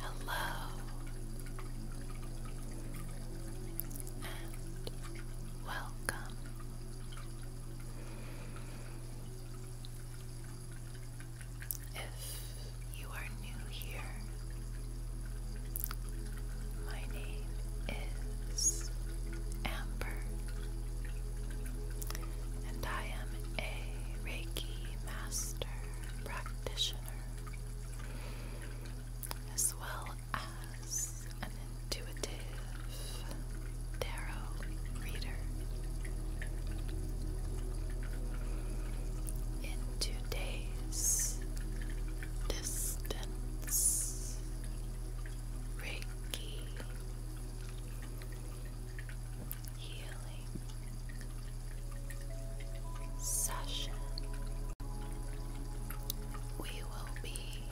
Hello and welcome. If you are new here, my name is Amber, and I am a Reiki Master Practitioner as well as an intuitive tarot reader in today's distance Reiki healing session. We will be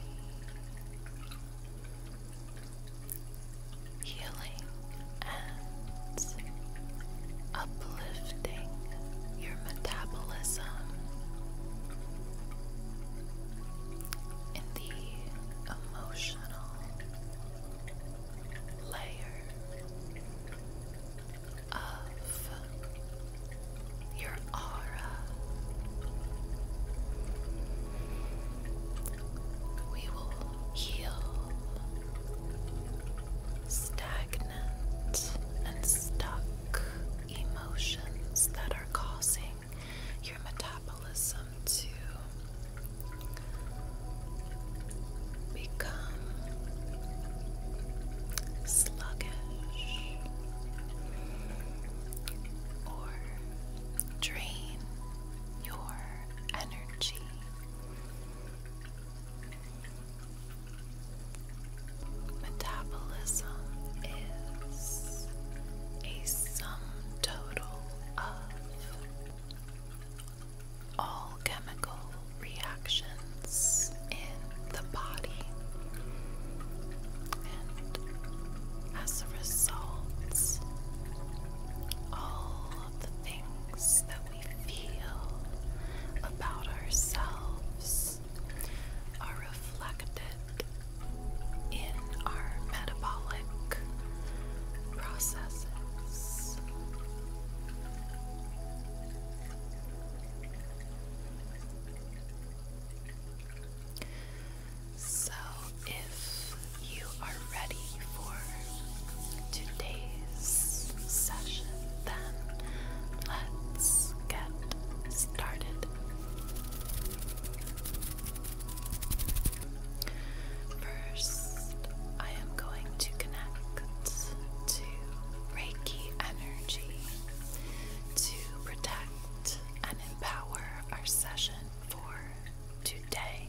healing and uplifting your metabolism in the emotional layer of your aura. We will heal stagnant and stuck emotions that are causing your metabolism to become sluggish or drain your energy. Metabolism is a sum total of all chemical reactions in the body, and as a result, all the things that we feel about ourselves are reflected in our metabolic processes. So, if you are ready for today's session, then let's get started. First, I am going to connect to Reiki energy to protect and empower our session for today.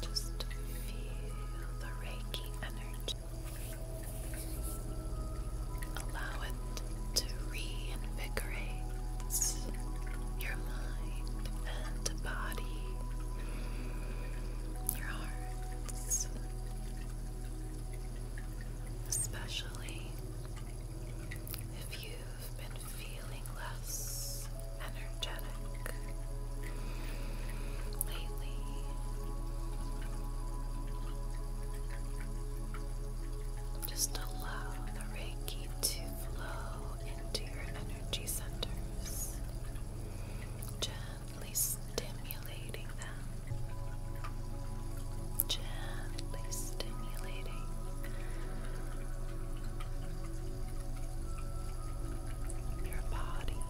Just feel the Reiki energy. Allow it to reinvigorate your mind and body, your hearts, Especially if you've been feeling less energetic lately. Just allow the Reiki to flow into your energy centers gently gently stimulating them, gently stimulating. Your body.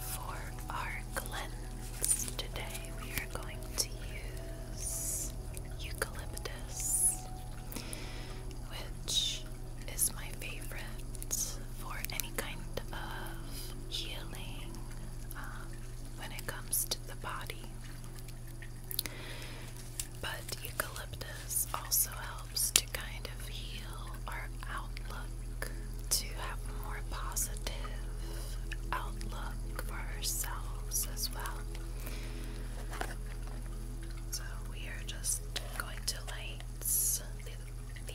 For our cleanse today, we are going to use eucalyptus which is my favorite for any kind of healing um, when it comes to the body. But eucalyptus also helps to kind of heal our outlook, to have a more positive outlook for ourselves as well. So we are just going to light the, the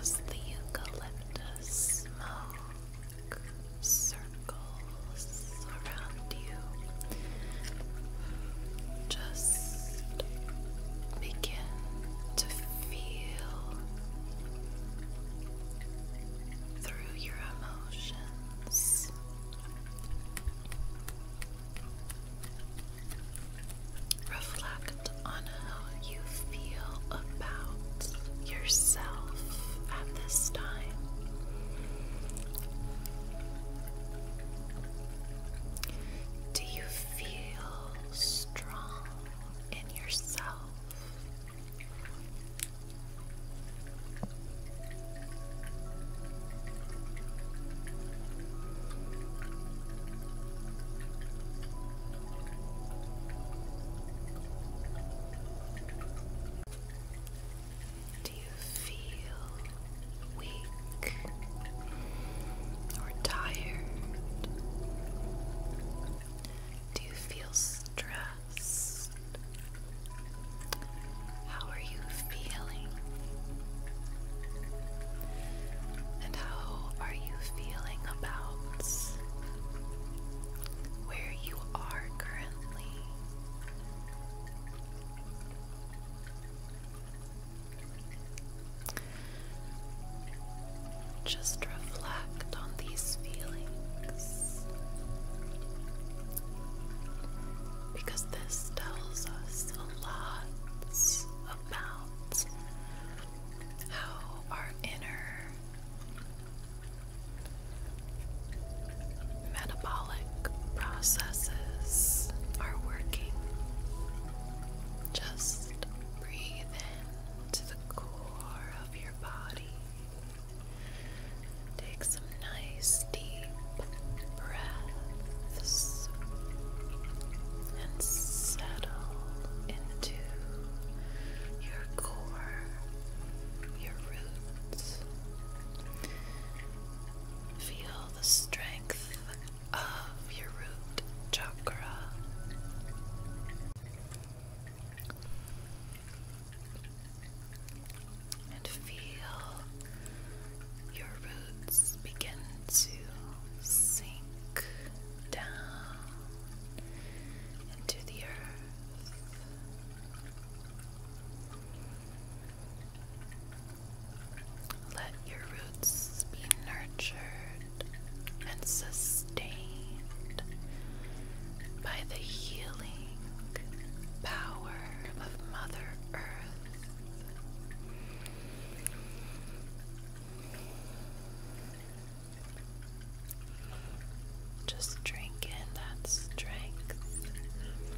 As the eucalyptus smoke circles around you, just begin to feel through your emotions. Reflect on how you feel about yourself at this time. Do you feel strong in yourself? Do you feel weak or tired do you feel stressed? How are you feeling? And how are you feeling about where you are currently? Just reflect on these feelings because this tells us a lot about how our inner metabolic processes are working. Just breathe in to the core of your body. Take some nice deep breaths and settle into your core, your roots. Feel the strength of your root chakra and feel your roots begin to sink down into the earth. Let your roots be nurtured and sustained by the healing power of Mother Earth. Just drink in that strength,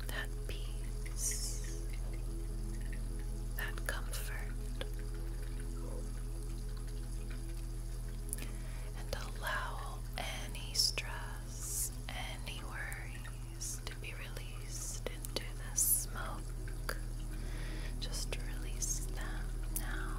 that peace, that comfort and allow any stress, any worries to be released into the smoke. Just release them now.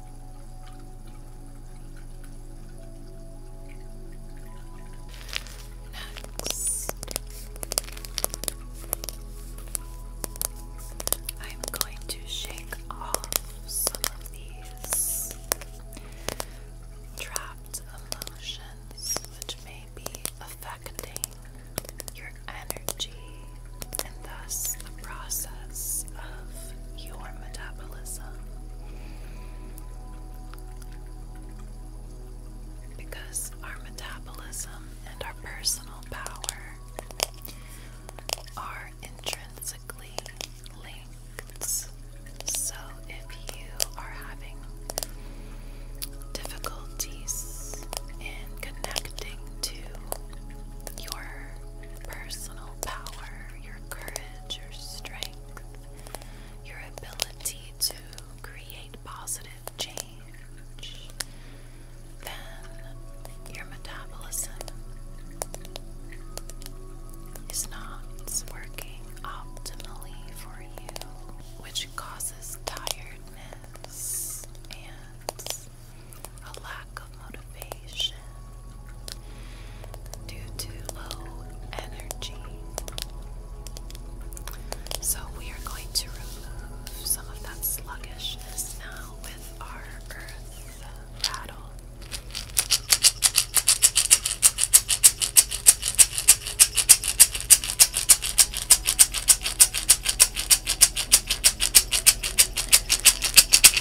Next, I'm going to shake off some of these trapped emotions which may be affecting your energy and thus the process of your metabolism because our metabolism and our personal power are intrinsically linked. So if you are having difficulties in connecting to your personal power, your courage, your strength, your ability to create positive change, then your metabolism is not working optimally for you, which causes tiredness and a lack of motivation motivation due to low energy. So, we are going to remove some of that sluggishness now with our earth rattle.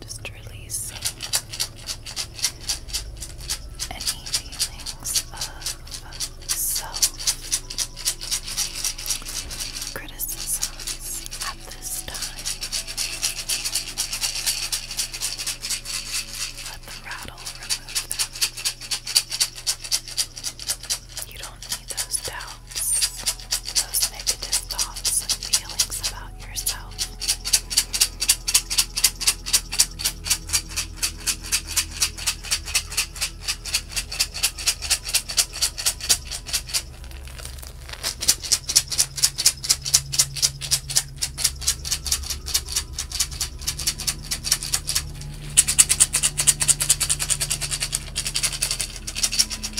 Just release any feelings of self criticisms at this time. Let the rattle remove them. You don't need those doubts thoughts, those negative thoughts and feelings about yourself.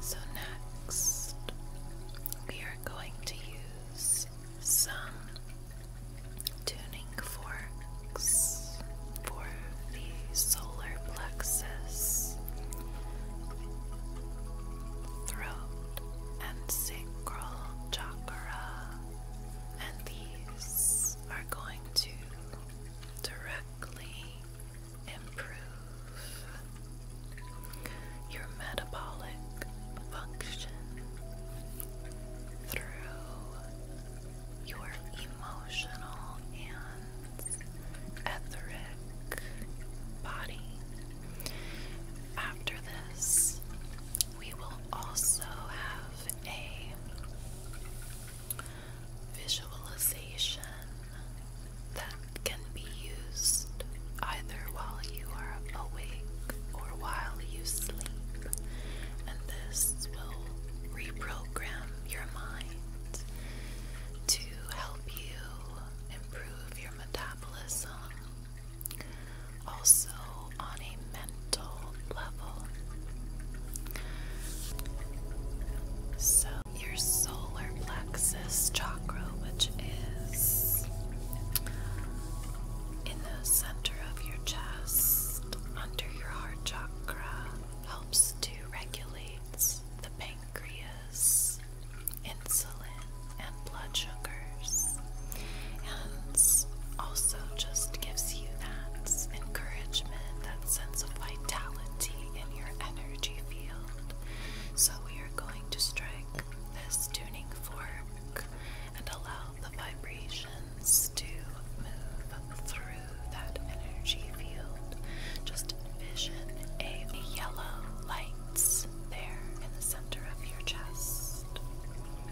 So, next, we are going to use some tuning forks for the solar plexus, throat, and sacral chakra, and these are going to directly improve your metabolic function through your emotional and etheric body. After this, we will also have a visualization that can be used either while you are awake or while you sleep, and this will reprogram your mind to help you improve your metabolism, also on a mental level. So, your solar plexus chakra, which is in the center of your chest, under your heart chakra, helps to regulate the pancreas, insulin, and blood sugars and also just gives you that encouragement, that sense of vitality in your energy field. So, we are going to strike this tuning fork and allow the vibrations to move through that energy field. Just envision a yellow light there in the center of your chest.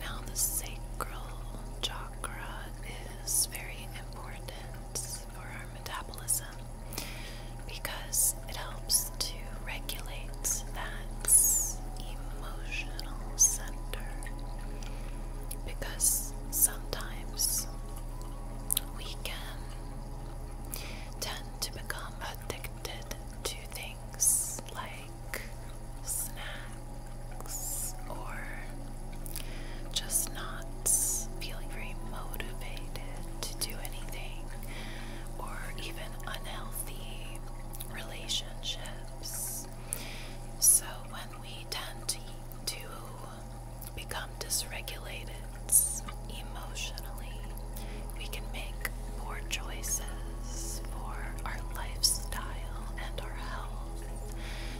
Now, the sacral chakra is very important for our metabolism because it helps to regulate that emotional center. Because sometimes we can tend to become addicted to things like like snacks or just not feeling very motivated to do anything or even unhealthy relationships. So when we tend to, to become dysregulated emotionally, we can make poor choices for our lifestyle and our health.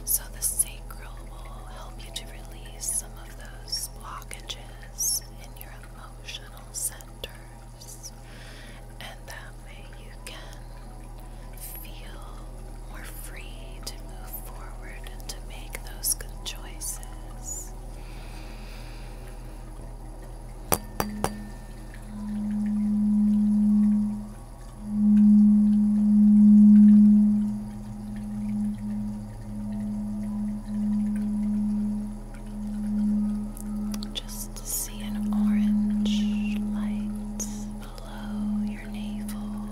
So the sacral will help you to release some of those blockages in your emotional centers. And that way you can feel more free to move forward and to make those good choices. Just see an orange light below your navel.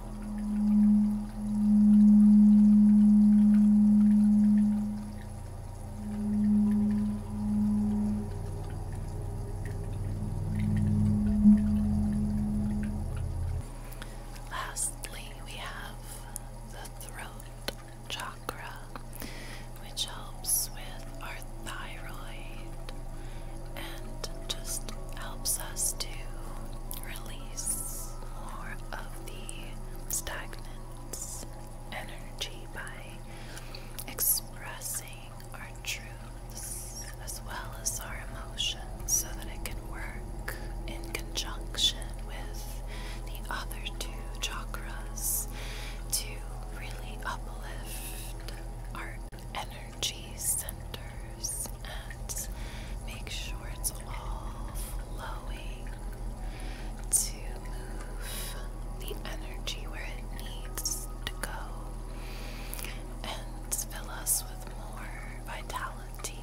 Lastly, we have the throat chakra, which helps with our thyroid and just helps us to release more of the stagnant energy by expressing our truths as well as our emotions so that it can work in conjunction with the other two chakras to really uplift our energy centers and make sure it's all flowing to move the energy where it needs to go and fill us with more vitality.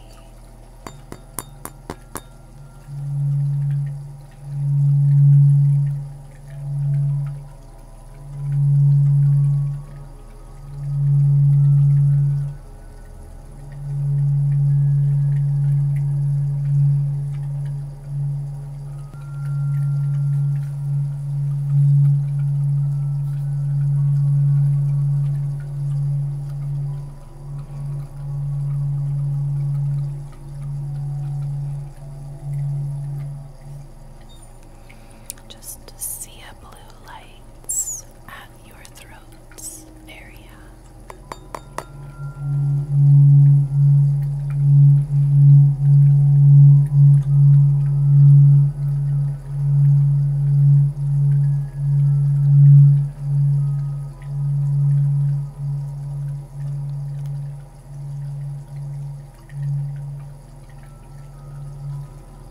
Just to see a blue light your throat's area.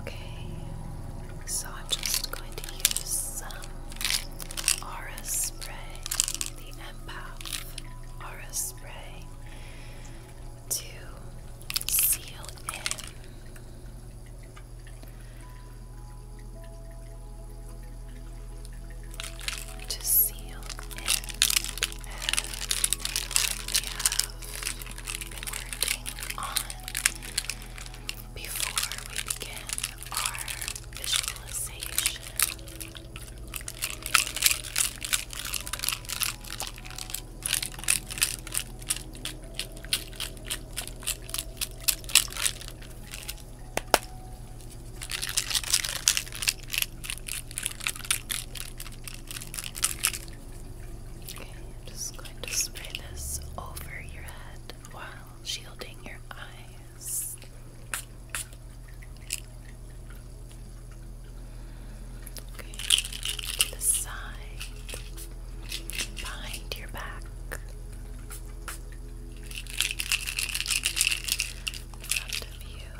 Okay, so I'm just going to use some Aura Spray, the Empath Aura Spray, to seal in to seal in everything we have been working on before we begin our visualization. Okay, I'm just going to spray this over your head while shielding your eyes. Okay, to the side behind your back. In of you.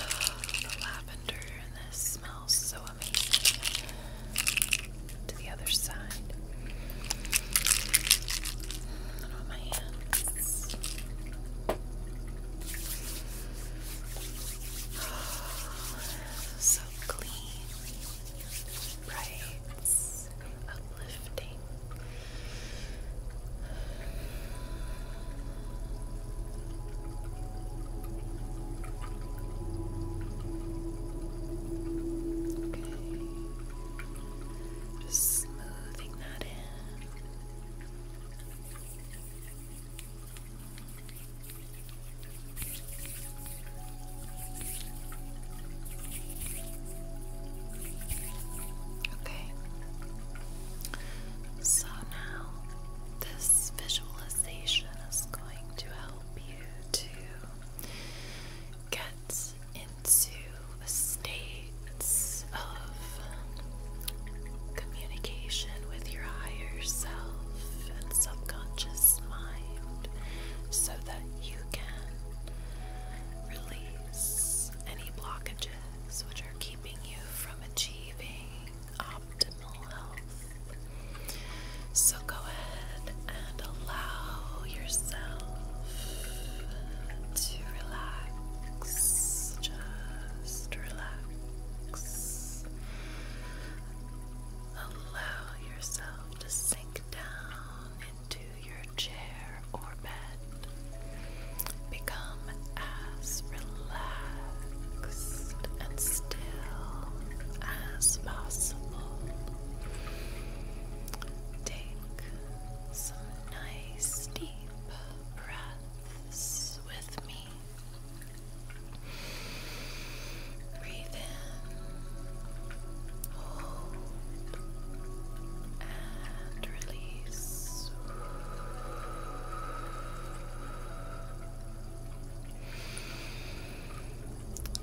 Oh, the lavender in this smells so amazing. To the other side. on my hands. Oh, so clean bright, uplifting. Okay. Just smoothing that in. Okay. So now this visualization is going to help you to get into states of communication with your higher self and subconscious mind so that you can release any blockages which are keeping you from achieving optimal health. So go ahead and allow yourself to relax. Just relax. Allow yourself to sink down into your chair or bed. Become as relaxed and still as possible. Take some nice deep breaths with me. Breathe in, hold, and release.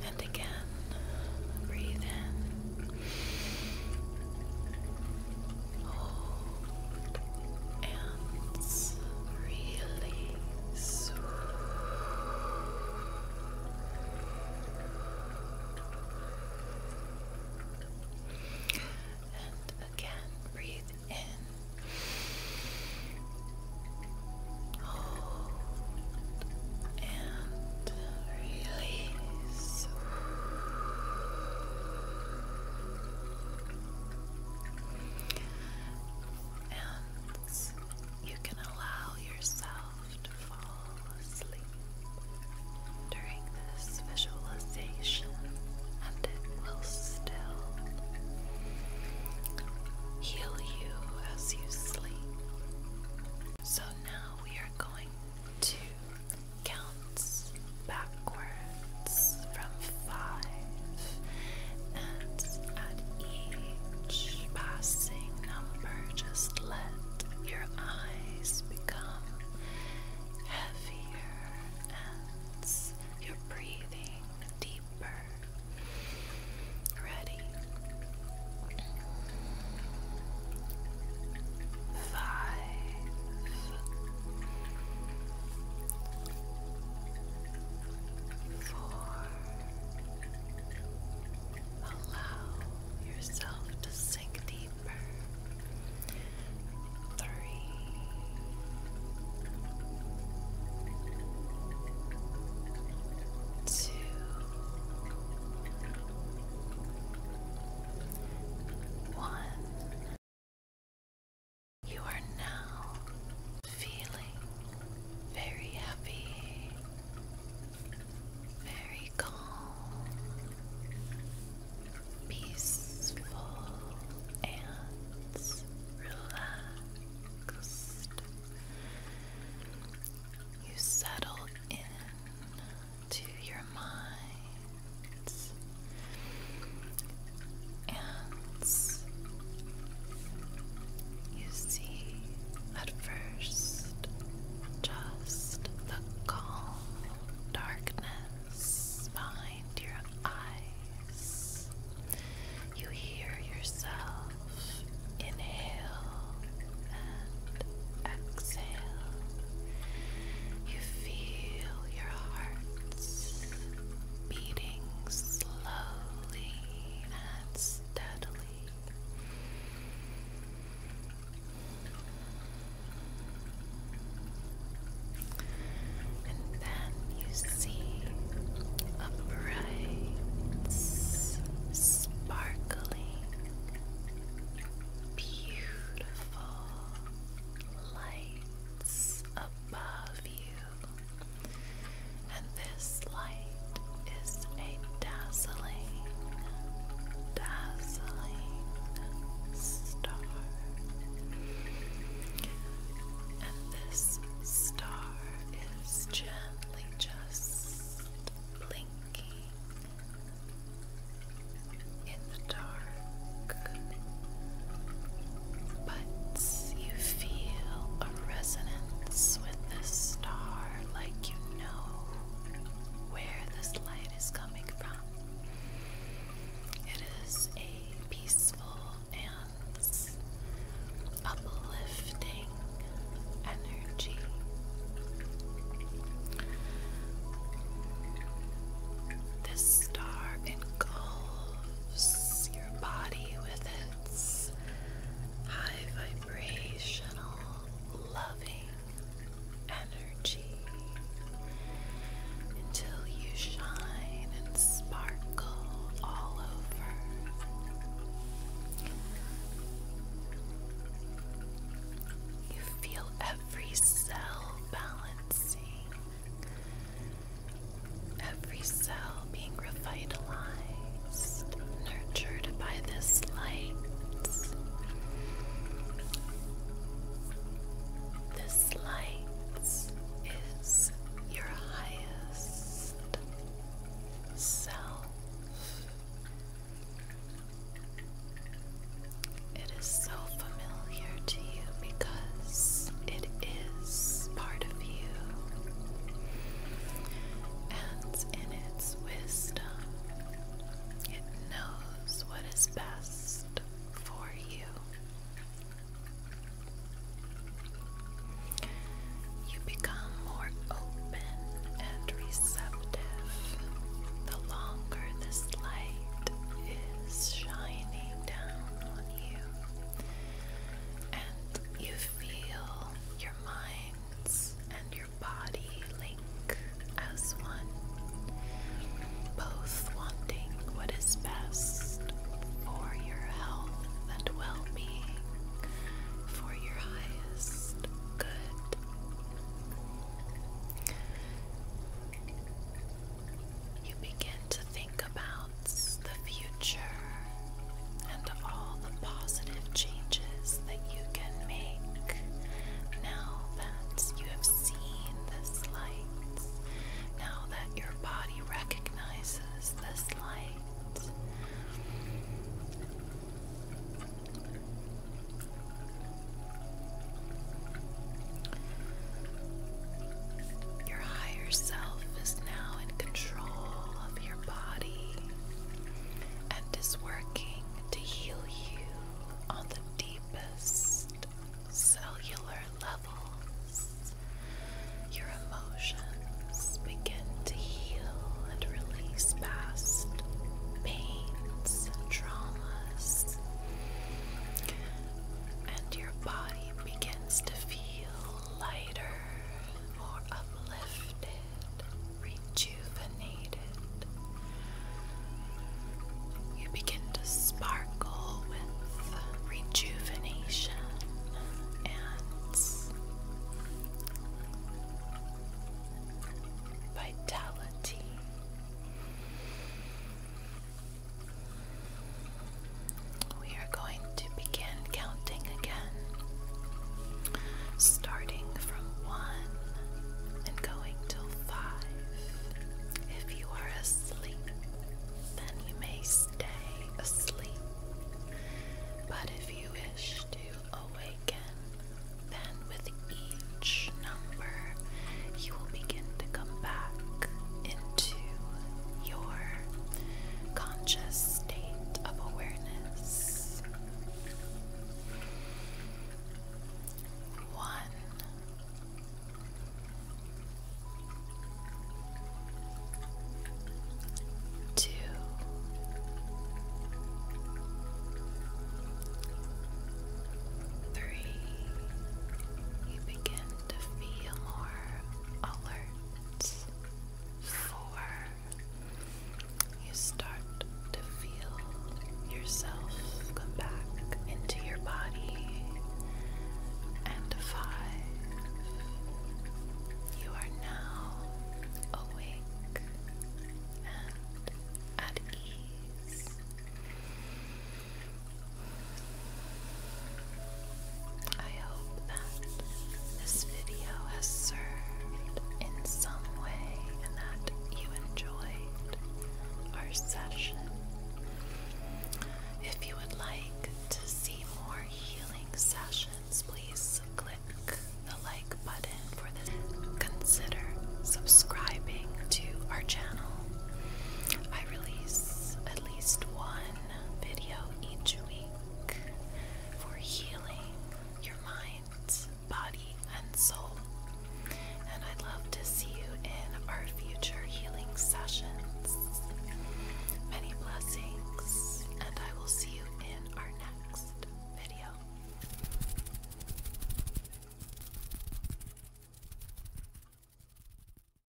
And again, breathe in, hold, and release. And again, breathe in. Hold and release. And you can allow yourself to fall asleep during this visualization, and it will still heal you as you sleep. So now we are going to count backwards from five and at each passing number, just let your eyes become heavier and your breathing deeper. Ready? Five. Four, Allow yourself to sink deeper. Three. You are now feeling very happy, very calm, peaceful, and relaxed. You settle in to your mind and you see, at first, just the calm darkness behind your eyes. You hear yourself inhale and exhale. You feel your heart beating slowly and steadily. And then you see a bright, sparkling, beautiful lights above and this light is a dazzling, dazzling star. And this star is gently just blinking in the dark but you feel a resonance with this star like you know where this light is coming from. It is a peaceful and uplifting energy. This star engulfs your body with intense, high vibrational, loving energy until you shine and sparkle all over. You feel every cell balancing Every cell being revitalized, nurtured by this light. This light is your highest self. It is so familiar to you because it is part of you, and in its wisdom, it knows what is best for you. You become more open and receptive the longer this light is shining down on you and you feel your minds and your body link as one, both wanting what is best for your health and well being, for your highest good. You begin to think about the future and all the positive changes that you can make now that you have seen this light, now that your body recognizes this light. Your higher self is now in control of your body and is working to heal you on the deepest cellular levels. Your emotions begin to heal and release past pains and traumas, and your body begins to feel lighter, more uplifted, rejuvenated. You begin to sparkle with rejuvenation and vitality. We are going to begin counting again, starting from one and going till five. If you are asleep, then you may stay asleep. But if you wish to awaken, then with each number, you will begin to come back to your conscious state of awareness. One. you begin to feel more alerts for you start to feel yourself come back into your body. And five, you are now awake and at ease. I hope that this video has served in some way and that you enjoyed our session. If you would like to see more healing sessions, please click the like button for this. Consider subscribing to our channel. I release at least one video each week for healing your mind, body, and soul. And I'd love to see you in our future healing sessions. Many blessings, and I will see you in our next video.